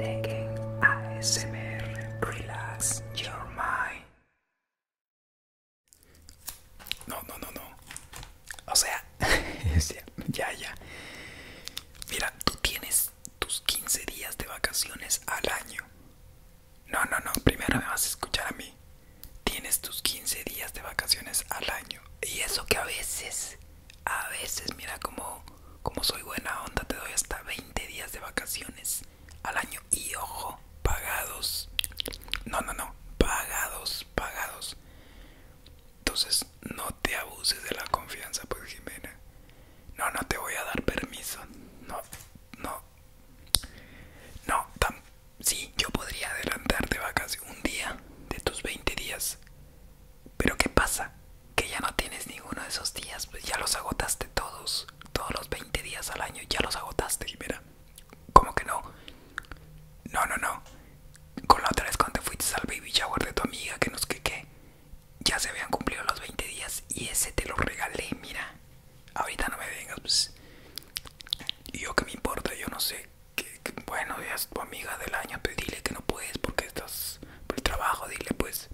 ASMR Relax Your Mind. No, no, no, no. O sea, ya, ya. Mira, tú tienes tus 15 días de vacaciones al año. No, no, no, primero me vas a escuchar a mí. Tienes tus 15 días de vacaciones al año. Y eso que a veces a veces, mira como, como soy buena onda, te doy hasta 20 días de vacaciones al año. Y ojo, pagados. No, no, no, pagados, pagados. Entonces, no te abuses de la confianza, pues Jimena. No, no te voy a dar permiso. No, no. No, sí, yo podría adelantarte vacaciones un día de tus 20 días. Pero ¿qué pasa? Que ya no tienes ninguno de esos días, pues ya los agotaste todos, todos los 20 días al año, ya los agotaste, y mira, como que no? No, no, no. Con la otra vez cuando te fuiste al baby shower de tu amiga, que nos que qué, ya se habían cumplido los 20 días y ese te lo regalé, mira. Ahorita no me vengas, pues. yo que me importa, yo no sé bueno, ya es tu amiga del año, pues dile que no puedes porque estás por el trabajo, dile pues,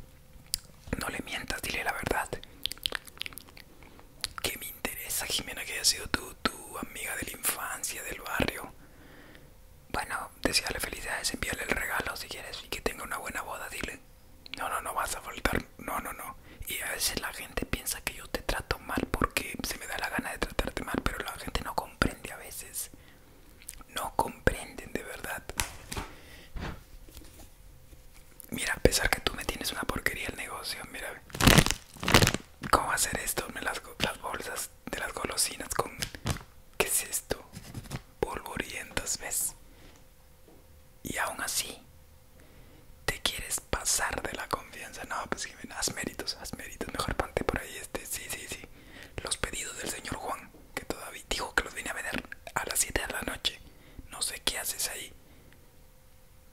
no le mientas, dile la verdad. Que me interesa, Jimena, que haya sido tu, tu amiga de la infancia, del barrio. Bueno, desearle felicidades, envíale el regalo si quieres y que tenga una buena boda, dile. No, no, no vas a faltar, no, no, no. Y a veces la gente piensa que yo te trato mal porque se me da la gana de tratarte mal, pero la gente no comprende a veces no comprenden de verdad. Mira, a pesar que tú me tienes una porquería el negocio, mira. ¿Cómo hacer esto? Las, las bolsas de las golosinas con... ¿Qué es esto? Polvorientas, ¿ves? Y aún así, te quieres pasar de la confianza. No, pues que haz méritos, haz méritos. Mejor pante por ahí este. Sí, sí, sí los pedidos del señor Juan, que todavía dijo que los vine a vender a las 7 de la noche. No sé qué haces ahí.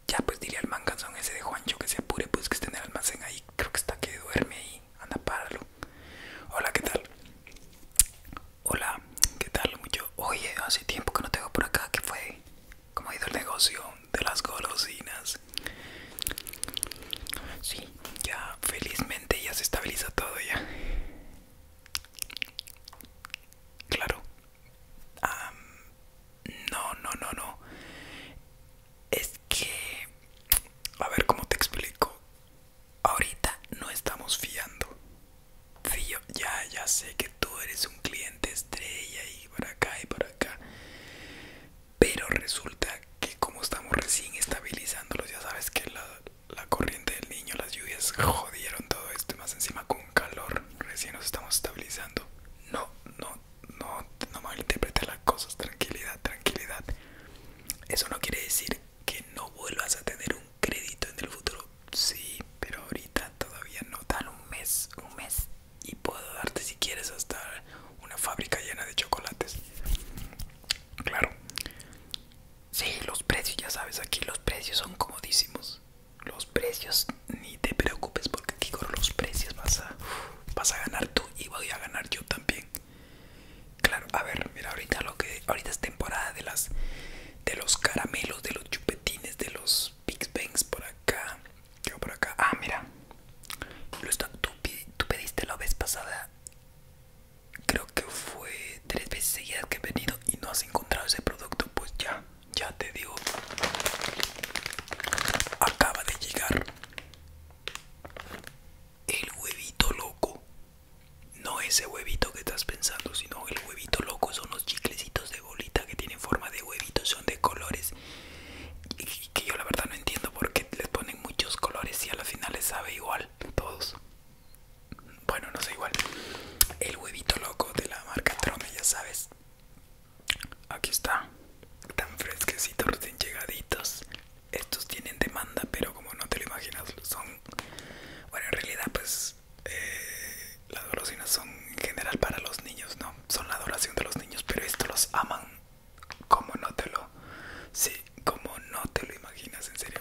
Ya pues diría al manganzón ese de Juancho que se apure, pues que esté en el almacén ahí. Creo que está que duerme ahí. Anda, páralo. Hola, ¿qué tal? Hola, ¿qué tal? Mucho. Oye, hace tiempo que no te veo por acá. ¿Qué fue? ¿Cómo ha ido el negocio de las golosinas? Sí, ya felizmente ya se estabiliza todo ya. Claro. no, no, no, no. Es que... A ver cómo te explico. Ahorita no estamos fiando. ya, ya sé que tú eres un cliente estrella y por acá y por acá pero resulta que como estamos recién estabilizándolos ya sabes que la, corriente del niño las lluvias jodieron todo esto más encima con calor recién nos estamos estabilizando no no no no malinterprete las cosas tranquilidad tranquilidad eso no quiere decir que no vuelvas a tener un crédito en el futuro sí pero ahorita todavía no dan un mes un mes y puedo darte si quieres hasta una fábrica llena de chocolates. Claro. Sí, los precios, ya sabes, aquí los precios son comodísimos. Los precios, ni te preocupes porque aquí con los precios vas a, vas a ganar tú y voy a ganar yo también. Claro, a ver, mira, ahorita lo que ahorita es temporada de las de los caramelos, de los chupetines, de los Big Bangs por acá, por acá. Ah, mira. Lo está... tú, tú pediste la vez pasada. Creo que fue tres veces seguidas que he venido y no has encontrado ese producto. Pues ya, ya te digo. Acaba de llegar. El huevito loco. No ese huevito que estás pensando, sino el huevito loco son los chiclecitos de bolita que tienen forma de huevito, son de colores que yo la verdad no entiendo porque les ponen muchos colores y a final les sabe igual todos bueno no sé igual el huevito loco de la marca Trome ya sabes aquí está tan fresquecitos recién llegaditos estos tienen demanda pero como no te lo imaginas son bueno en realidad pues eh, las golosinas son en general para los niños no son la adoración de los niños pero estos los aman como no te lo sí, como no te lo imaginas en serio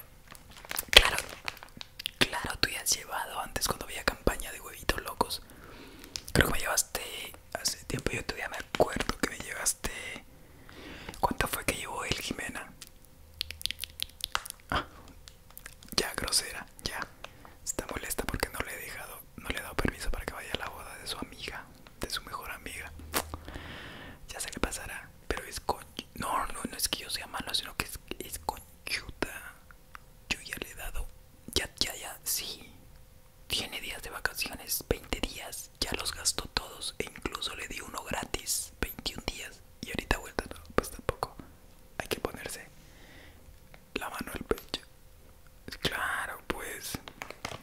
claro claro tú ya has llevado antes cuando había campaña de huevitos locos creo que me llevaste hace tiempo yo todavía me acuerdo que me llevaste cuánto fue que llevó el Jimena ah, ya grosera ya está molesta porque no le he dejado no le he dado permiso para que vaya a la boda de su amiga, de su mejor amiga. Ya sé le pasará, pero es con... No, no, no es que yo sea malo, sino que es, es conchuta. Yo ya le he dado... Ya, ya, ya, sí. Tiene días de vacaciones, 20 días, ya los gastó todos e incluso le di uno gratis, 21 días. Y ahorita vuelta, pues tampoco. Hay que ponerse la mano el pecho. Claro, pues.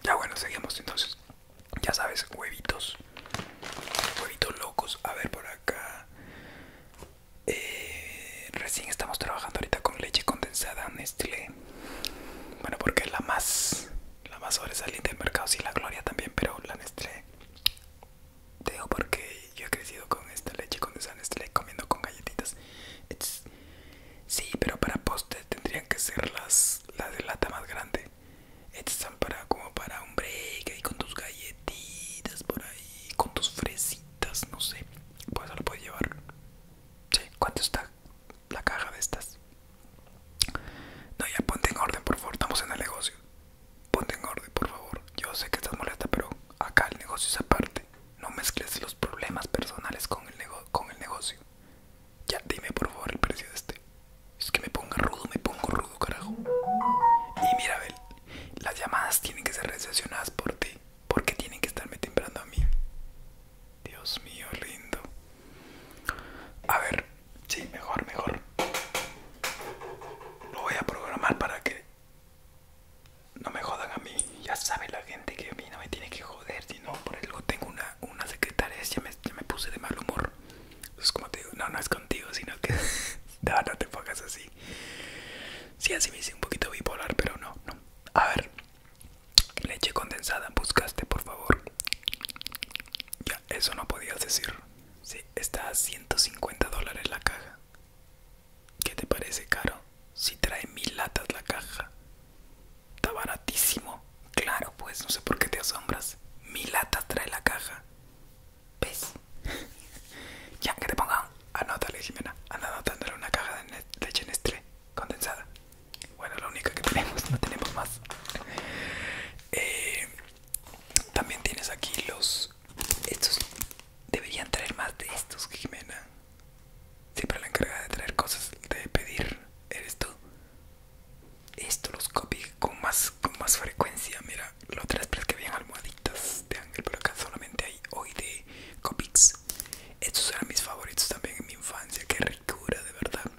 Ya bueno, seguimos entonces. Ya sabes, huevitos. Huevitos locos. A ver por acá. Eh, recién estamos trabajando ahorita con leche condensada Nestlé. Bueno, porque es la más la más sobresaliente del mercado, si la Gloria también, pero la Nestlé. Te porque yo he crecido con esta leche condensada Nestlé comiendo con galletitas. Sí, pero para postes tendrían que ser las, de lata más grande. Estas están para, como para un break ahí con tus galletitas por ahí, con tus fresitas, no sé. Pues lo puedes llevar. Sí, ¿cuánto está la caja de estas? No, ya ponte en orden, por favor, estamos en el negocio. Ponte en orden, por favor. Yo sé que estás molesta, pero acá el negocio es aparte. No mezcles los problemas personales con el, negocio. Ya, dime por favor el precio de este. Es que me ponga rudo, me pongo rudo, carajo. Y mira, Abel, las llamadas tienen que ser recepcionadas por ti. Porque tienen que estarme temprando a mí. Dios mío, lindo. A ver, sí, mejor, mejor. Lo voy a programar para que no me jodan a mí. Ya sabe la gente que a mí no me tiene que joder, sino por algo tengo una, secretaria. Ya me, puse de mal humor. Es como te digo, no, no es contigo, sino que. no, no te pongas así. Sí, así me hice un poquito bipolar, pero no, no. A ver, leche condensada, buscaste, por favor. Ya, eso no podías decir. Sí, está a 150 dólares la caja. ¿Qué te parece caro? Si trae mil latas la caja. Está baratísimo. Claro, pues, no sé por qué te asombras. Mil latas trae la caja. ¿Ves? ya, que te pongan. Anótale, Jimena. Anda anotándole una caja de leche Nestlé condensada. Bueno, la única que tenemos, no tenemos más. Eh, también tienes aquí los... Estos deberían traer más de estos, Jimena. Siempre la encargada de traer cosas, de pedir, eres tú. Esto los copies con más, con más frecuencia. Mira, los tres que habían almohaditas de ángel, pero acá solamente hay hoy de Copics. Estos eran mis favoritos también en mi infancia. Qué ricura, de verdad.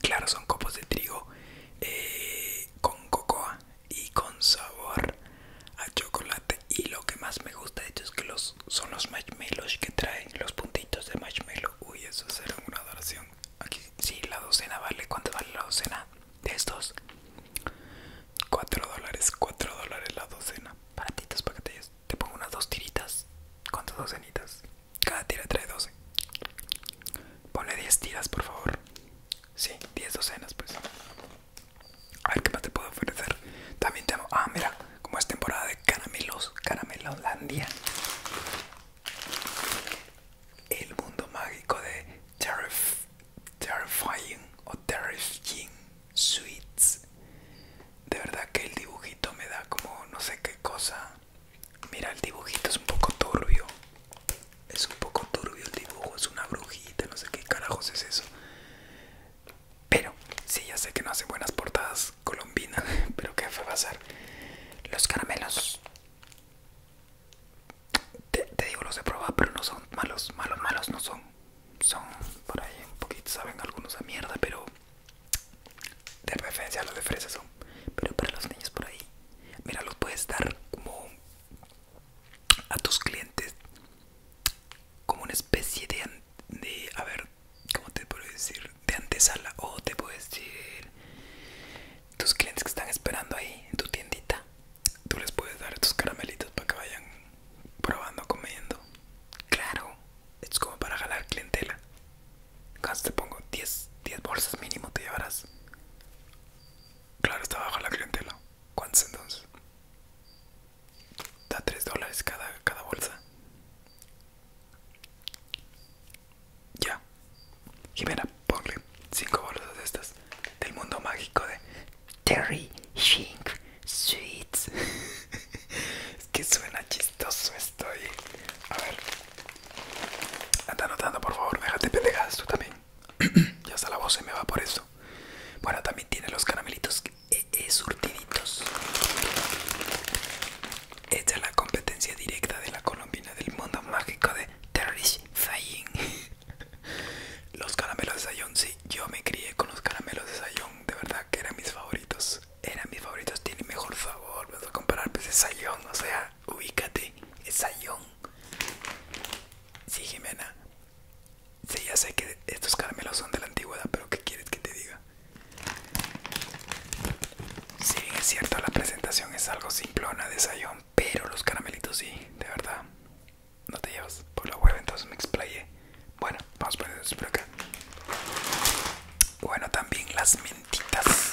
Claro, son copos de trigo eh, con cocoa y con sabor a chocolate y lo que más me gusta de hecho es que los, son los marshmallows que traen los puntitos de marshmallow uy eso será una adoración aquí sí la docena vale cuánto vale la docena de estos Cuatro dólares cuatro dólares la docena baratitos paquetillos te pongo unas dos tiritas cuántas docenitas cada tira trae 12 ponle 10 tiras por favor sí 10 docenas pues a ver qué más te puedo ofrecer. También tengo. Ah, mira, como es temporada de caramelos, caramelolandia. El mundo mágico de Terrifying o Terrifying Sweets. De verdad que el dibujito me da como no sé qué cosa. Mira, el dibujito es un poco turbio. Es un poco turbio el dibujo, es una brujita, no sé qué carajos es eso. Pero, sí, ya sé que no hace buenas portadas colombinas, pero ¿qué fue a Los caramelos. Te, digo, los he probado, pero no son malos, malos, malos no son. Son por ahí un poquito, saben algunos a mierda, pero de referencia los de fresa son. Pero para los niños por ahí, mira, los puedes dar como a tus clientes como una especie de, de a ver cómo te puedo decir de antesala o te puedes decir tus clientes que están esperando ahí en tu tiendita tú les puedes dar tus caramelitos para que vayan probando comiendo claro es como para jalar clientela cuánto te pongo 10 10 bolsas mínimo te llevarás claro está bajo la clientela ¿Cuántos entonces da 3 dólares cada, bolsa. Ya, Jimena, ponle 5 bolsas de estas del mundo mágico de Terry Shink Sweets. es que suena chistoso esto. Y... A ver, anda anotando, por favor, déjate pendejadas tú también ya hasta la voz se me va por eso. Bueno, también tiene los caramelitos eh, surtiditos. Esta es la competencia directa de la colombina del mundo mágico de Terry Zayin los caramelos de Sayón, sí, yo me crié con los caramelos de Sayón, de verdad que eran mis favoritos. Eran mis favoritos, tienen mejor sabor, Voy a comparar, pues es Sayón, o sea, ubícate, es Sayón. Sí, Jimena, Sí, ya sé que estos caramelos son de la antigüedad, pero ¿qué quieres que te diga? Si sí, es cierto, la presentación es algo simplona de sayón, pero los caramelitos sí, de verdad. No te llevas por la web, entonces me explayé. Bueno, vamos por, por acá. Bueno, también las mentitas.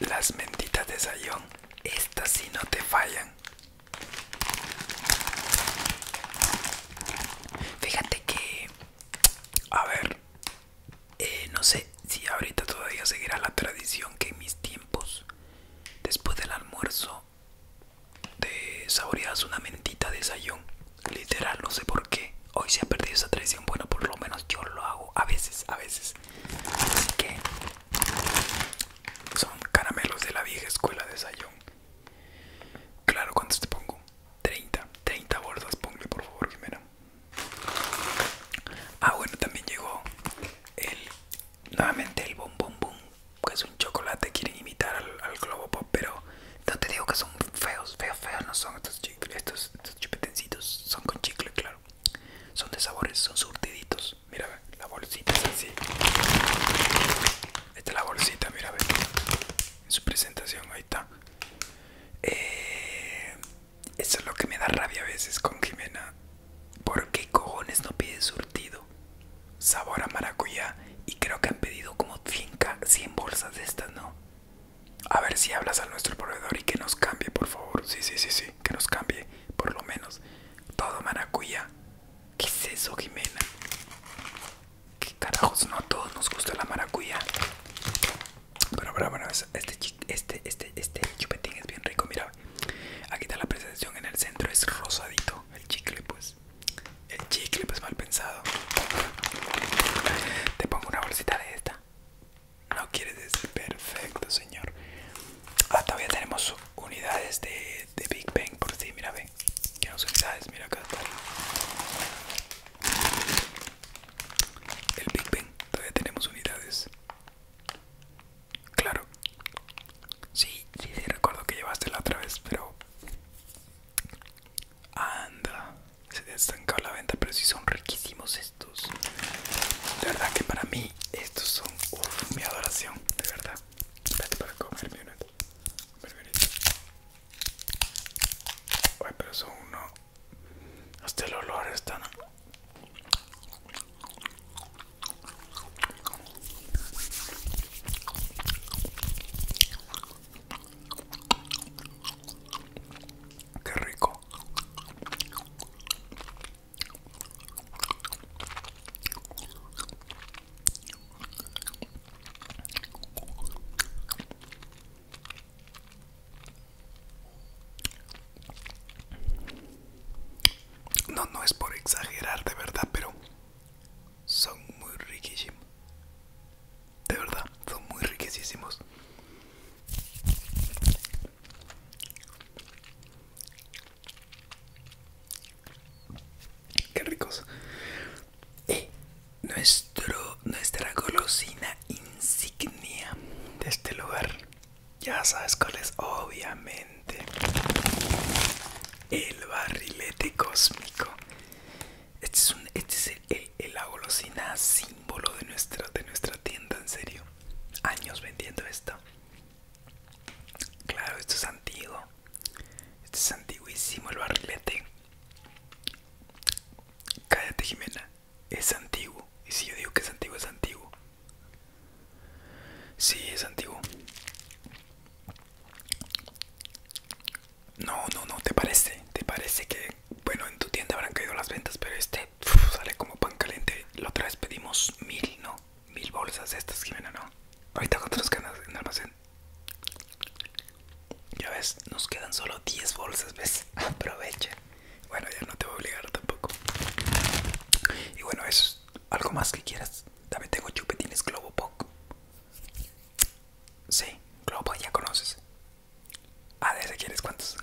Las mentitas de Sayón, estas sí no te fallan. Fíjate que, a ver, eh, no sé si ahorita todavía seguirá la tradición que en mis tiempos, después del almuerzo, te saboreas una mentita de Sayón. Literal, no sé por qué. Hoy se ha perdido esa tradición. Bueno, por lo menos yo lo hago a veces, a veces que son caramelos de la vieja escuela de Sayon. Claro, ¿cuántos te pongo? 30, 30 bolsas, ponle por favor, primero. Ah, bueno, también llegó el nuevamente el Boom boom, que es un chocolate. Quieren imitar al, globo pop, pero no te digo que son feos, feos, feos no son estos, estos chupetencitos, son con chicle, claro. Son de sabores, son surtiditos. Mira, la bolsita es así. Esta la bolsita, mira, En su presentación, ahí está. Eh, eso es lo que me da rabia a veces con Jimena. ¿Por qué cojones no pide surtido? Sabor a maracuyá. Y creo que han pedido como 100 bolsas de estas, ¿no? A ver si hablas a nuestro proveedor y que nos cambie, por favor. Sí, sí, sí, sí, que nos cambie, por lo menos. Todo maracuya. ¿Qué es eso, Jimena? ¿Qué carajos? No a todos nos gusta la maracuya. Pero, pero, pero, este, este, este, este chupetín es bien rico, mira. Aquí está la presentación en el centro, es rosadito. El chicle, pues. El chicle, pues mal pensado. Te pongo una bolsita de esta. No quiere decir perfecto, señor. Ah, todavía tenemos unidades de, Big Bang por si, sí, mira, ven. Tenemos unidades, mira acá El Big Bang, todavía tenemos unidades. Claro. Sí, sí, sí, recuerdo que llevaste la otra vez, pero... Anda se te ha estancado la venta pero si son riquísimos estos de verdad que para mí estos son mi adoración de verdad Vete para comerme uno Ay, pero son uno hasta el olor está... Qué rico. No, no es por exagerar de verdad, pero son muy riquísimos de verdad, son muy riquísimos. Qué ricos. Y nuestro, nuestra golosina insignia de este lugar. Ya sabes cuál es, obviamente. El barrilete cósmico. Este es, un, este el, eh, eh, agolosina, símbolo de nuestra, de nuestra tienda, en serio. Años vendiendo esto. Claro, esto es antiguo. Esto es antiguísimo, el barrilete. Cállate, Jimena. Es antiguo. Y si yo digo que es antiguo, es antiguo. Sí, es antiguo. No, no, no, ¿te parece? ¿Te parece que, bueno, en tu tienda habrán caído las ventas, pero este sale como pan caliente. La otra vez pedimos mil, ¿no? Mil bolsas estas, Jimena, ¿no? Ahorita con otras canas en almacén. Ya ves, nos quedan solo 10 bolsas, ¿ves? Aprovecha. Bueno, ya no te voy a obligar tampoco. Y bueno, es algo más que quieras. También tengo chupetines Globo poco? Sí, Globo ya conoces. Ah, de ese quieres cuántos?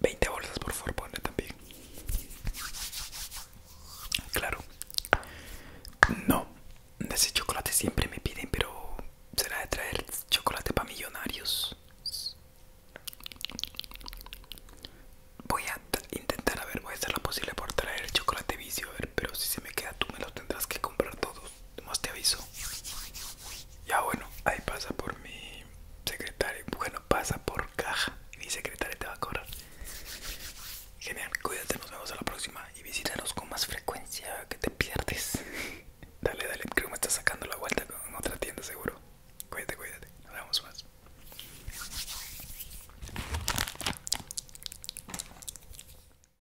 20 bolsas, por favor, ponle también. Claro. No, de ese chocolate siempre me piden, pero será de traer chocolate para millonarios. Voy a intentar, a ver, voy a hacer lo posible por traer chocolate vicio, a ver, pero si se me queda tú me lo tendrás que comprar todos más te aviso. Ya bueno, ahí pasa por mi Secretario Bueno, pasa por caja. Mi secretaria te va a cobrar. Genial, cuídate, nos vemos a la próxima. Y visítanos con más frecuencia que te pierdes. dale, dale, creo que me estás sacando la vuelta En otra tienda seguro. Cuídate, cuídate. Nos vemos más.